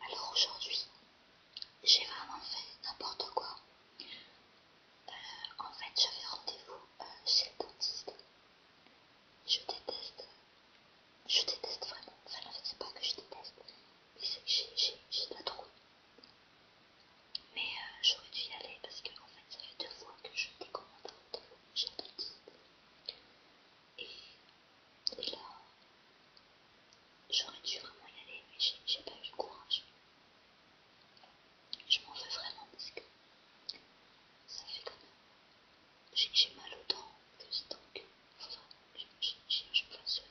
Alors aujourd'hui, j'ai vraiment fait n'importe quoi. Euh, en fait, j'avais rendez-vous euh, chez le dentiste. Je déteste, je déteste vraiment. Enfin, en fait, c'est pas que je déteste, mais c'est que j'ai la trouille. Mais euh, j'aurais dû y aller parce que, en fait, ça fait deux fois que je décommande un rendez-vous chez le dentiste. Et, là, j'aurais dû vraiment y aller, mais j'ai pas eu le courage. Je m'en fais vraiment parce que ça fait quand même. J'ai mal aux dents que j'ai donc. que je,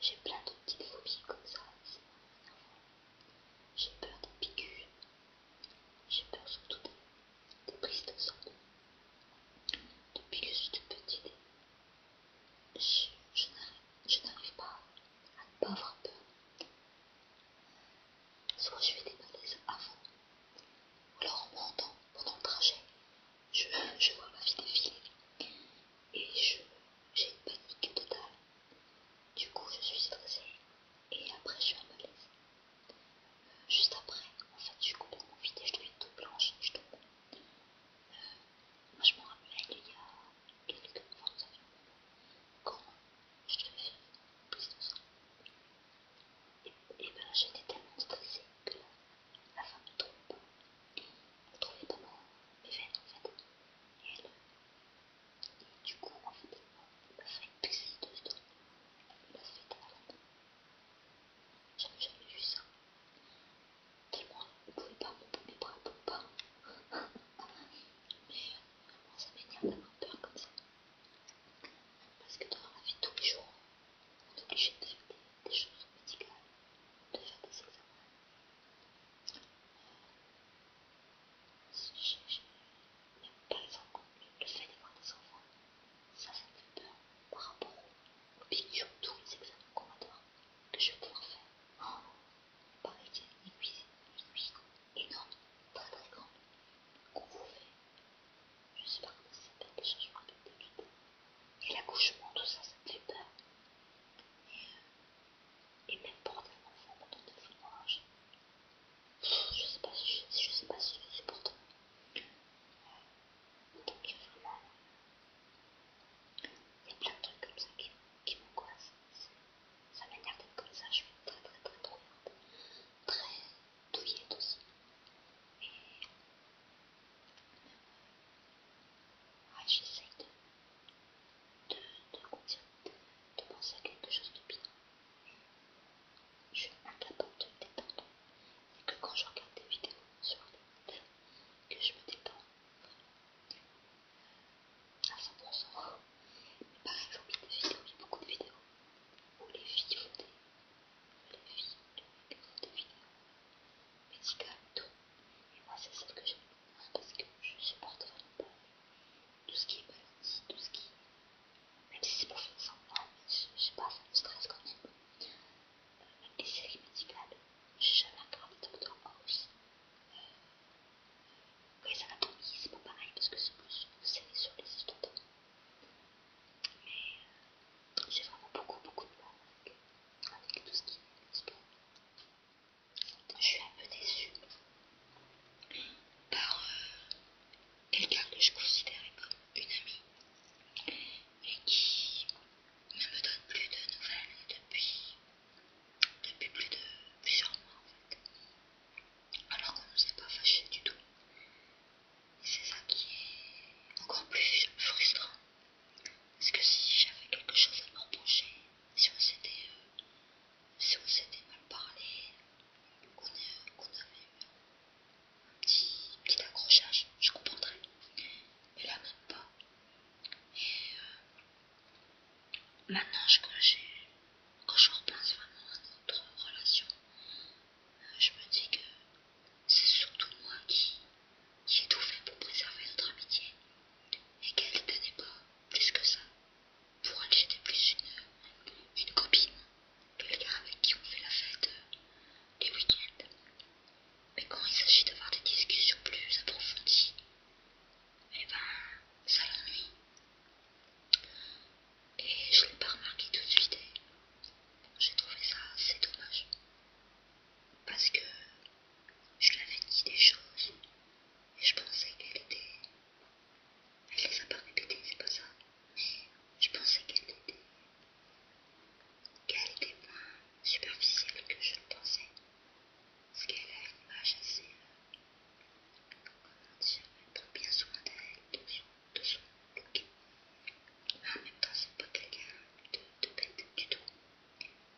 J'ai plein de petites phobies comme ça. J'ai peur des piqûres, j'ai peur surtout des, prises de sang. Depuis que je suis petite, je, n'arrive pas à ne pas avoir peur. Soit je fais des malaises avant, ou alors en pendant le trajet, je, vois ma vie défiler et j'ai une panique totale. Du coup, je suis stressée et après, je suis à malaise juste après, en fait, je suis complètement vide je être toute blanche, je euh, moi, je me rappelle, il y a quelques mois, quand je devais faire plus de sang. Et, bien, ben, j'étais tellement stressée que la, femme Elle ne trouvait pas mes veines, en fait. elle, et du coup, en fait, le fait deux de elle donner, le fait d'avoir la main, j'avais jamais vu ça. Tellement, ne pouvais pas pomper mes bras pour pas. Mais euh, vraiment, ça m'énerve d'avoir peur comme ça. Parce que dans la vie tous les jours, on est obligé de faire des, choses médicales, de faire des examens. Euh, par exemple, pas le fait d'avoir des enfants, ça, ça me fait peur par rapport aux piqûres, tous les examens combattoires que je vais pouvoir faire. Oh, pareil, une cuisine, une cuisine énorme, très très grande, qu'on vous fait. Je sais pas comment ça s'appelle déjà, je me rappelle tout, Et l'accouchement, tout ça, ça me fait peur. Euh, et même pour des enfants pendant des Je sais pas si je, sais pas si c'est pour toi. il y a plein de trucs comme ça qui, qui m'angoissent. Ça m'énerve comme ça, je suis très très très trouillante, très douillette aussi. Et, ah, je de, de, de, de, de penser à quelque chose de bien. Je suis incapable de me détendre. Et que quand je regarde des vidéos sur Internet, que je me détends à 100%. Mais par exemple, vidéos, beaucoup de vidéos où les filles font des, filles, des vidéos médicales et tout. moi, c'est celle que j'aime parce que je supporte vraiment pas tout ce qui est maladie, tout ce qui. est... Même si c'est pour faire semblant, mais je sais pas, ça me stresse quand même. même euh, les séries médicales, j'ai jamais aussi Doctor euh, ça ça va c'est pas pareil parce que c'est plus une série sur les histoires Mais euh, j'ai vraiment beaucoup, beaucoup de mal avec, tout ce qui est médical je suis un peu déçue par euh, quelqu'un que je considérais comme une amie et qui ne me donne plus de nouvelles depuis, depuis plus de plusieurs mois Alors qu'on ne s'est pas fâché du tout. c'est ça qui est encore plus frustrant. Parce que si j'avais quelque chose à me reprocher, euh, si on s'était mal parlé, qu'on euh, avait eu un petit, accrochage, je comprendrais. Mais là, même pas. Et euh, maintenant, je, quand, quand je repense vraiment à notre relation, je me dis que c'est surtout moi qui, qui ai tout fait pour préserver notre amitié et qu'elle ne tenait pas plus que ça. Pour elle, j'étais plus une, une copine, gars avec qui on fait la fête du euh, les week-ends. Mais quand il s'agit d'avoir des discussions plus approfondies, eh ben, ça l'ennuie. Et je ne l'ai pas remarqué tout de suite j'ai trouvé ça assez dommage parce que je lui avais dit des choses et je pensais qu'elle était. Elle les a pas répétées, c'est pas ça, mais je pensais qu'elle était. qu'elle était moins superficielle que je le pensais. Parce qu'elle a une image assez. Euh, comment dire Elle prend bien soin d'elle, de son, de son look. Mais en même temps, c'est pas quelqu'un de, de bête du tout.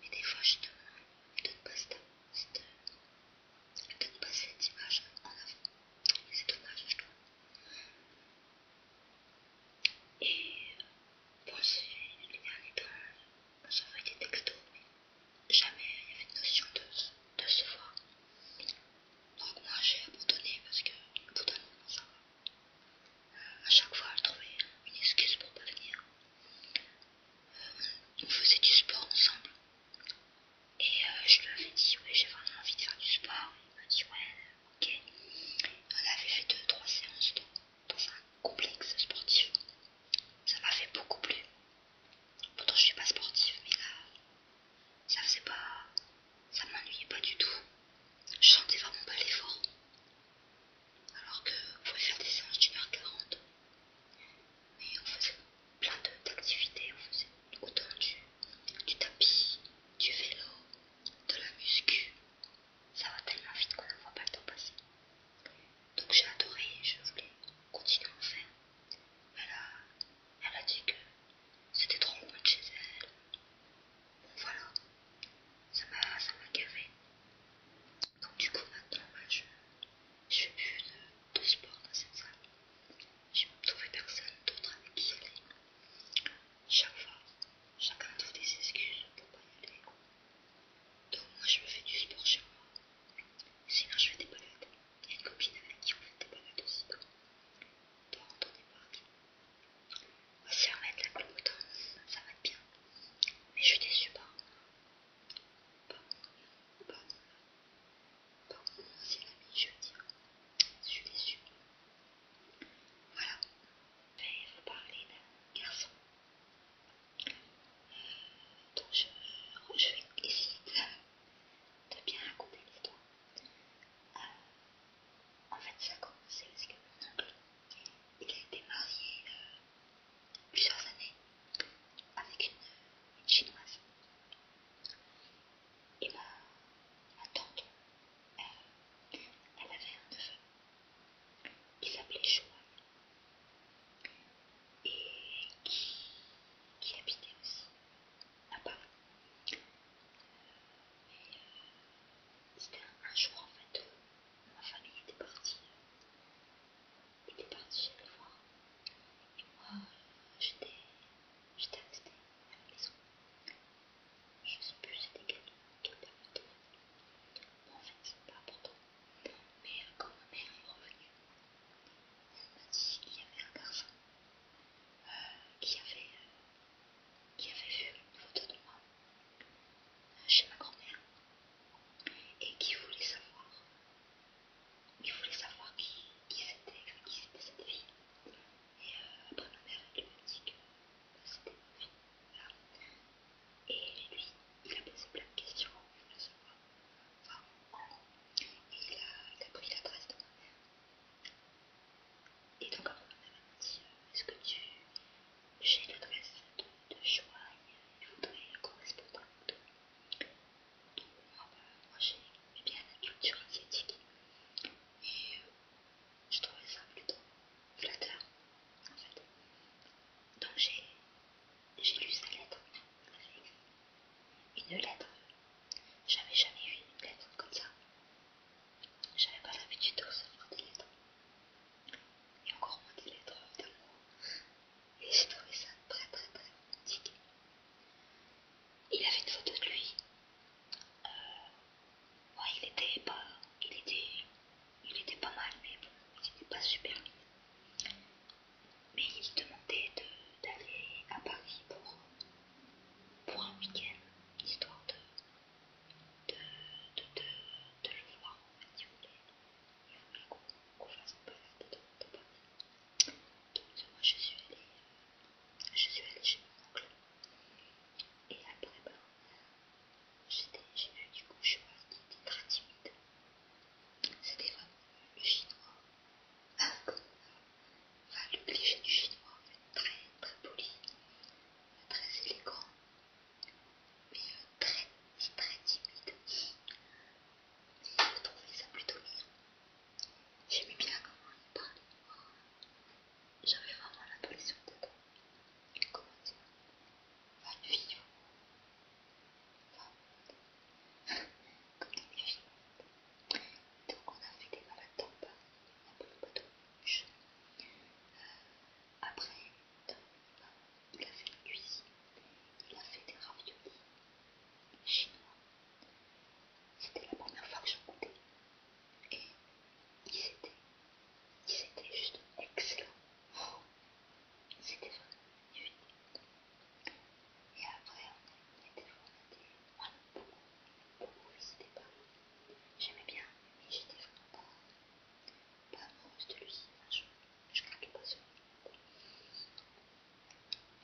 Mais des fois, je te ne pas cette, cette, de ne pas cette image en avant. c'est dommage, je trouve. Et euh, bon, les derniers ça des textos, mais jamais il y avait une notion de, de se voir. Donc moi j'ai abandonné parce que au ça va. Euh, à chaque fois, je trouvais une excuse pour pas venir on faisait du sport ensemble. Et euh, je lui avais dit, oui, j'ai vraiment envie de faire du sport. Il m'a dit, ouais, ok. On avait fait deux, trois séances dans, un complexe sportif. Ça m'a fait beaucoup plus. Pourtant, je suis pas sportive, mais là, ça faisait pas. Ça m'ennuyait pas du tout. Je sentais vraiment pas l'effort alors que vous pouvez faire des séances d'une heure quarante. Et on faisait plein d'activités, on faisait autant du, tapis, du vélo, de la muscu. Ça va tellement vite qu'on ne voit pas le temps passer. Donc j'ai adoré et je voulais continuer à en faire. Mais a, elle a dit que c'était trop loin de chez elle, voilà, ça m'a gavé. Donc du coup maintenant je ne fais plus de, sport dans cette salle. Je J'ai trouvé personne d'autre avec qui aller. Chaque fois, chacun trouve des excuses pour pas y aller. Donc moi je me fais du sport chez moi. Sinon je fais des balades. Il y a une copine avec qui on fait des balades aussi. on oui, si on met de la peau ça va être bien. Mais je suis déçue, pas, Bon, bon, bon, c'est la mi-jeudi. Je suis déçue. Voilà. Je vais vous parler d'un garçon. Euh, Donc je, je vais essayer de, de bien raconter l'histoire. Euh, en fait, ça commence commencé parce que mon oncle, il a été marié euh, plusieurs années avec une, chinoise. Et ma, tante, euh, elle avait un neveu qui s'appelait Chouan et qui, habitait aussi à Paris. Euh, c'était un jour en fait où euh, ma famille était partie. était partie chez les voir. Et moi, euh, j'étais restée à la maison. Je sais plus c'était quel était. Bon, en fait, c'est pas important. Mais euh, quand ma mère est revenue, elle m'a dit qu'il y avait un garçon qui avait qui avait vu une photo de moi chez ma grand-mère et qui voulait savoir, qui voulait savoir qui, c'était, qui c'était cette fille. Et euh, après ma mère lui a dit que bah, c'était ma fille. Et lui, il a posé plein de questions, pour voulait savoir. Enfin, en il a pris l'adresse de ma mère. Et donc après elle m'a dit, euh, est-ce que tu... J'ai l'adresse de, de et il correspondre avec toi. Donc ah bah, moi, j'ai bien la culture asiatique et euh, je trouvais ça plutôt flatteur en fait. Donc j'ai lu sa lettre une lettre. J'avais jamais vu une lettre comme ça. J'avais pas l'habitude de recevoir des lettres. Et encore moins des lettres d'amour. Et j'ai trouvé ça très très très romantique. Il avait une photo de lui. Euh, ouais, il était pas, il était, il était pas mal, mais bon, il était pas super. Mais il demandait d'aller à Paris pour, pour un week-end, histoire de, de, de, de, de le voir en fait, il voulait, il voulait qu'on qu fasse une balade dans, dans Paris. Donc moi je suis allée, je suis allée chez mon oncle et après ben, j'ai vu du coup je suis pas était très timide. C'était vraiment le chinois. Comme, Enfin, le du chinois, fait, très très poli, très élégant, mais euh, très très timide. Et je trouvais ça plutôt mignon. J'aimais bien comment il parlait. J'avais vraiment l'impression d'être, comment dire, enfin, une Enfin, comme dans donc on a fait des balades en on a pris le bateau euh, après, il a fait une cuisine, il a fait des raviolis chinois. C'était la première fois que j'en goûtais. Et ils étaient, ils étaient juste excellents. Oh, ils C'était vraiment magnifique. Et après, on, a, on était voir Oh, c'était pas. J'aimais bien mais j'étais vraiment pas, pas amoureuse de lui. je, je craquais pas sur lui.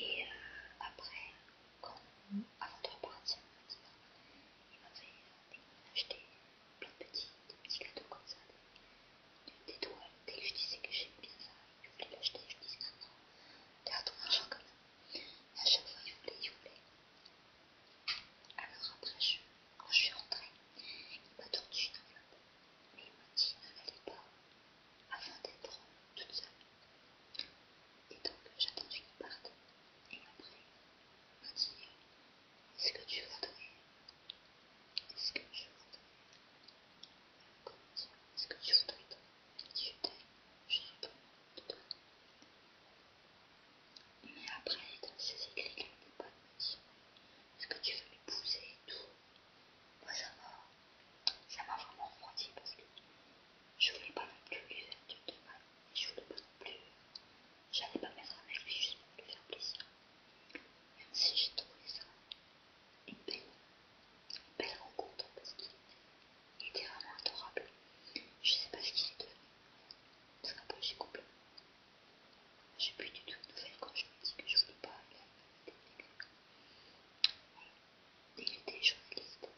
Et euh, après, quand, avant de repartir, il m'avait fait euh, acheté plein de petits, petits cadeaux comme ça, des, doigts Dès que je disais que j'aimais bien ça, il voulait l'acheter, je disais ah non, non, as ton argent quand même. À chaque fois, il voulait. Alors après, je, quand je suis rentrée, il m'a tordu une enveloppe. Mais il m'a dit ne l'allez pas avant d'être toute seule. Et donc, j'attendais qu'il parte. Et après, il m'a dit est-ce que tu voudrais. Est-ce que tu voudrais. Comment dire Est-ce que tu voudrais je Mais après, dans ses écrits, elle ne pas me dire est-ce que tu veux m'épouser et tout. Moi, ça m'a ça m'a vraiment refroidi parce que je voulais pas non plus lui faire du mal et je voulais pas non plus. J'allais pas mettre avec lui juste pour lui faire plaisir. Même si j'ai trouvé ça une belle Belle rencontre parce qu'il était, vraiment adorable. Je sais pas ce qu'il est devenu. C'est un projet Je J'ai plus du tout de nouvelles quand je me dis que je voulais pas aller à la Il était journaliste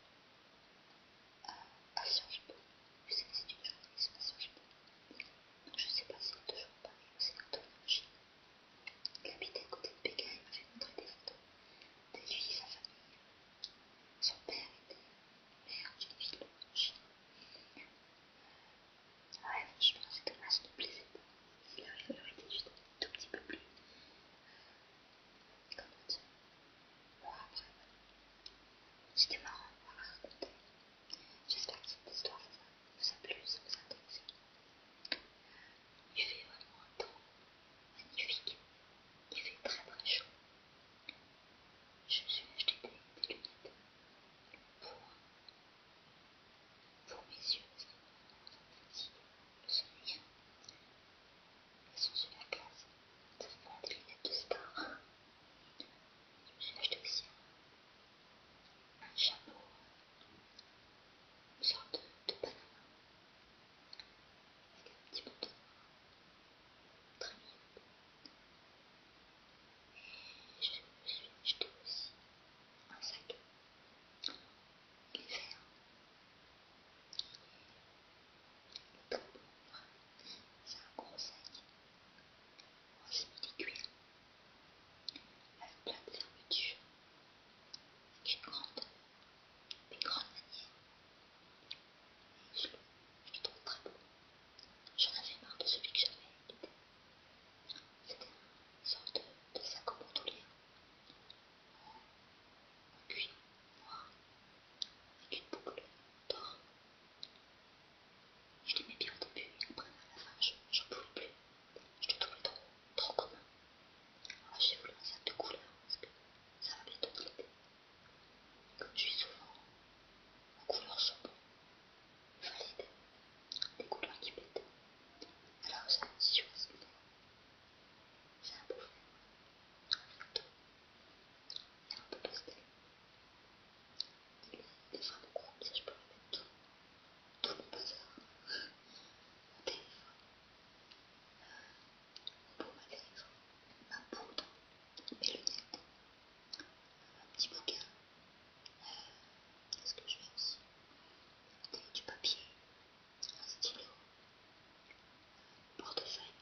à, Sciences Po. C'est une journaliste à Sciences Po. je sais pas si c'est toujours parlé ou c'est un en qui habitait à côté de Pékin, il m'a fait montrer des photos détruisit sa famille. Son père était maire d'une ville de ah Chine. Ouais, franchement, c'est dommage, ça ne plaisait pas. Il aurait été juste un tout petit peu plus. comment dire après, voilà. C'était marrant à raconter. J'espère que cette histoire vous a plu, vous a intéressé. Il fait vraiment un temps magnifique. Il fait très très chaud. Je me suis acheté des, lunettes pour, mes yeux parce sont sur la des lunettes de star. Je me suis acheté aussi un chapeau une sorte de, de Panama avec un petit bout de noir très bien, et je me suis aussi un sac de il est c'est un gros sac c'est des cuir avec plein de fermeture une grande, une grande manière. je, le trouve très beau. J'en avais marre de celui que j'avais C'était une sorte de, sac au bandoulière en cuir noir avec une boucle d'or. Je l'aimais bien au début, et après à la fin je n'en pouvais plus. Je le temps trop commun. Alors j'ai voulu un sac de couleurs parce que ça va plutôt l'été. Comme je suis souvent en couleurs chaudes il des couleurs qui pètent Alors j'ai choisi j'ai un beau vert, un feutre et un peu pastel. Il est vraiment comme ça je peux le mettre tout tout le bazar mon téléphone ma ma poudre, mes un petit bouquin, qu'est-ce que je vais aussi Du papier, un stylo, un portefeuille,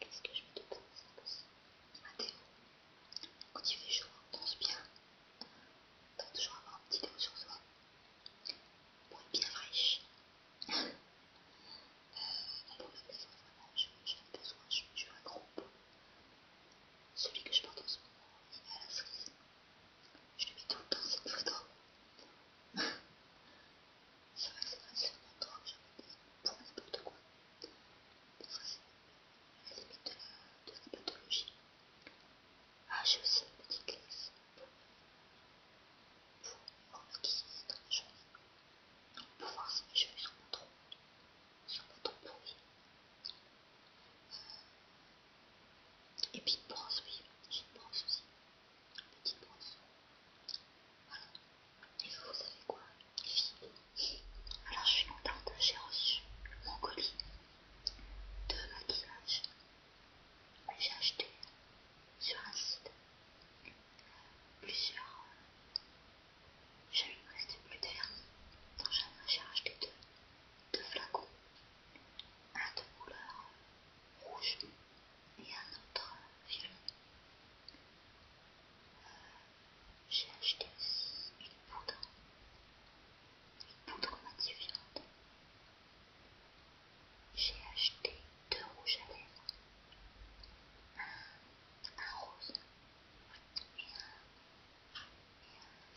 qu'est-ce que je mets te C'est aussi Un quand il fait chaud, on bien. On toujours avoir un petit dégoût sur soi pour être bien fraîche. Euh, je, besoin, je, un gros Celui que je porte en ce moment, il Je le mets tout le temps, cette photo. c'est vrai que c'est pas que pour n'importe quoi de la, de la pathologie. Ah, j'ai aussi une petite glace pour, pour maquiller dans la journée. Pour voir si mes cheveux sont mon trop, sont pas trop pourris. et puis une brosse, oui, j'ai une brosse aussi. Une petite brosse. Voilà. Et vous, savez quoi, alors je suis contente, j'ai reçu mon colis de maquillage que j'ai acheté sur un site. Plusieurs. Euh, reste plus de vernis, donc j'ai acheté deux, deux flacons. Un de couleur rouge et un autre euh, violet. J'ai acheté aussi une poudre, une poudre matifiante. J'ai acheté deux rouges à lèvres, un, rose et un,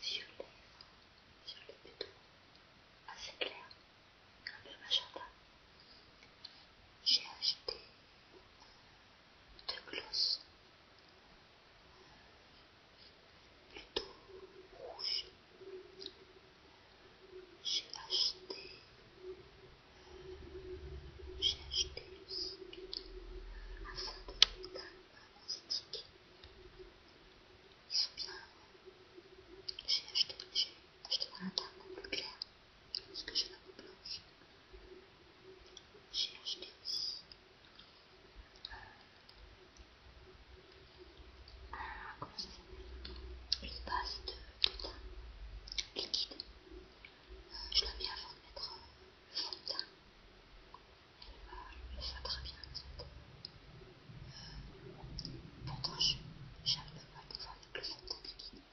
violet violet, violet plutôt, assez clair, un peu magenta. J'ai acheté de gloss plutôt rouge. J'ai acheté, j'ai acheté aussi un fond de métal à stick. Ils sont bien. J'ai acheté, acheté un carton plus clair parce que j'ai la peau blanche. J'ai acheté aussi une base de, teint liquide. Euh, je la mets avant de mettre le euh, fond de teint. Elle euh, le fera très bien pourtant, j'aime le de le fond de teint liquide.